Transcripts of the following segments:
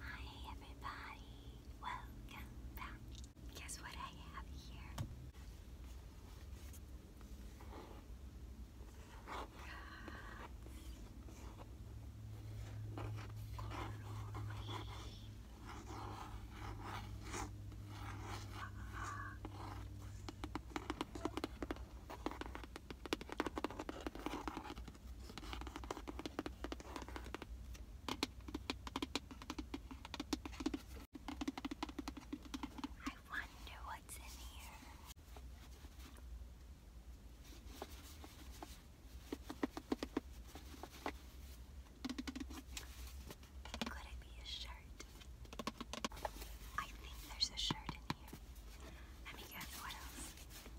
Hi everybody, welcome back. Guess what I have here? I wonder what's in here. Could it be a shirt? I think there's a shirt in here. Let me guess what else.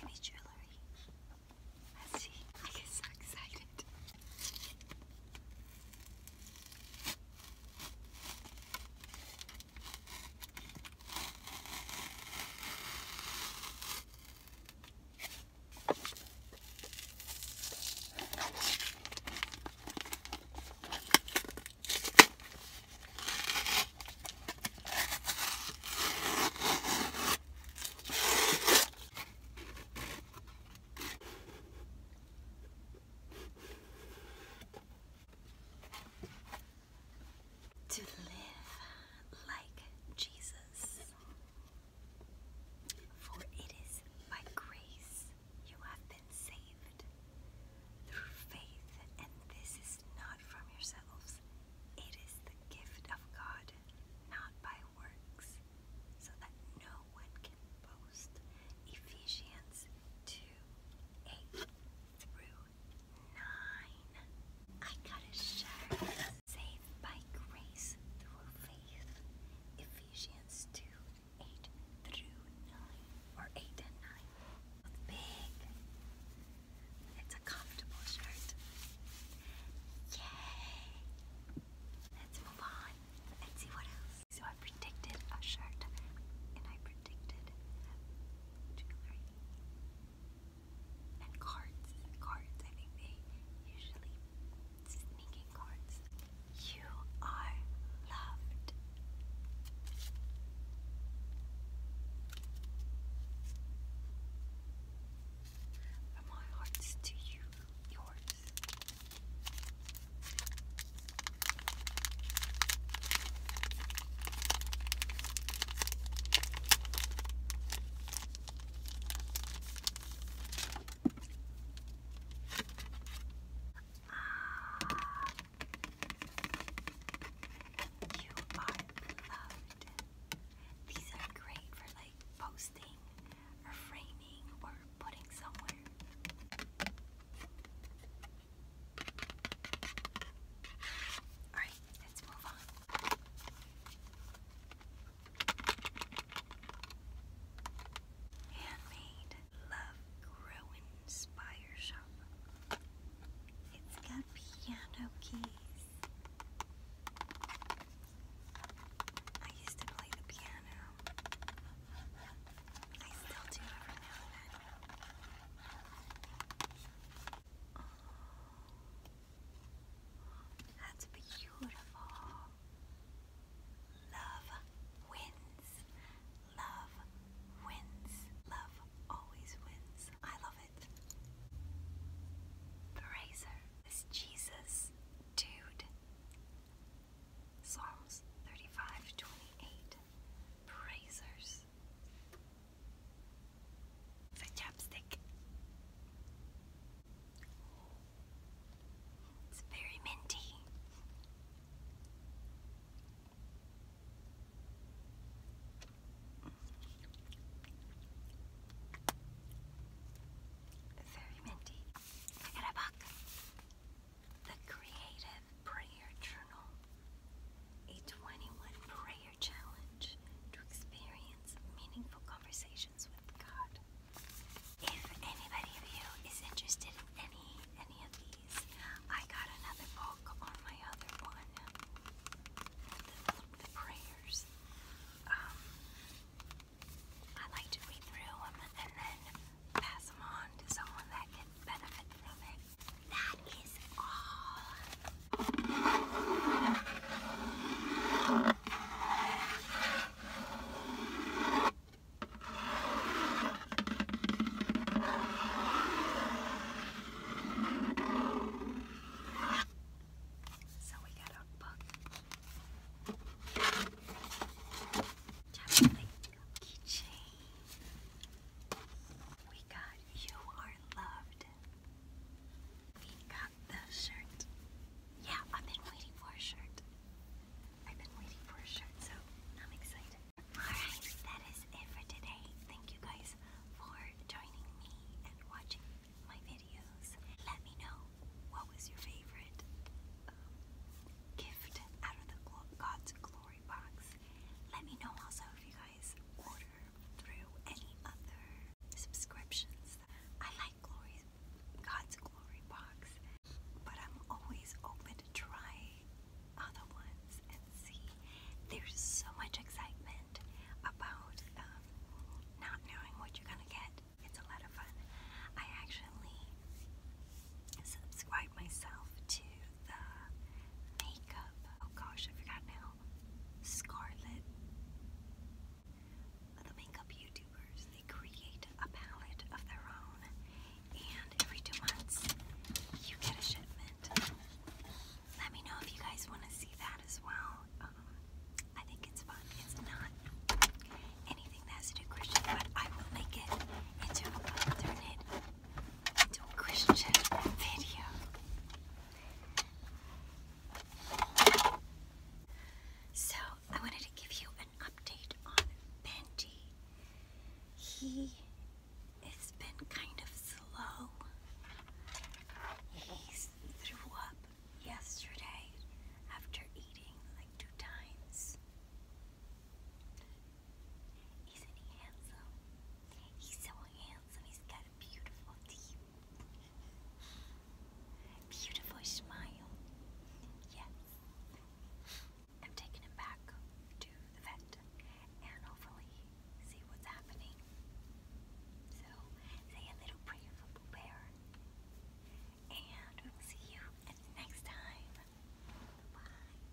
Heavy jewelry. Let's see. I get so excited. To live like Jesus. For it is by grace you have been saved through faith, and this is not from yourselves. It is the gift of God, not by works, so that no one can boast. Ephesians 2 8 through 9. I gotta share. Saved by grace through faith. Ephesians 2 8 through 9. Or 8 and 9. It's big. It's a comfortable shirt. Yay! Let's move on and see what else. So I predicted a shirt and I predicted jewelry and cards. Cards, I think they usually sneak cards. You are loved. From my hearts to you, yours. Ah. You These are great for like posting or framing or putting somewhere. Alright, let's move on. Handmade. Love Growing Spire Shop. It's got piano keys. I used to play the piano. I still do every now and then. Oh, that's beautiful. Love wins. Love wins. Love always wins. I love it. Brazer. This Jesus dude. Psalms 35 28. Brazers. The chapstick. It's very minty. Very minty. I got a book. The Creative Prayer Journal. A 21 prayer challenge to experience meaningful conversations with God. If anybody of you is interested in any any of these, I got another book on my other one. The, prayers. Um, I like to read through them and then pass them on to someone that can benefit from it. That is all. So we got our book. Just like keychain. We got You Are Loved we got the shirt. Yeah, I've been waiting for a shirt. I've been waiting for a shirt, so I'm excited. Alright, that is it for today. Thank you guys for joining me and watching my videos. Let me know what was your favorite um, gift out of the God's Glory box. Let me know also if you guys order through any other subscriptions. I like God's Glory box, but I'm always open to try other ones and see. There's so much excitement about um, not knowing what you're gonna get. It's a lot of fun. I actually subscribe myself to the makeup. Oh gosh, I forgot now. Scarlet. The makeup YouTubers, they create a palette of their own, and every two months you get a shipment. Let me know if you guys want to see that as well. Um, I think it's fun. It's not anything that has Christian, but I will make it into, i turn it into a Christian video. So, I wanted to give you an update on Benji. He has been kind of slow. He threw up yesterday after eating like two times. Isn't he handsome? He's so handsome. He's got a beautiful Beautiful smile. Yes. I'm taking him back to the vet and hopefully see what's happening. So, say a little prayer for Pooh And we will see you next time. Bye.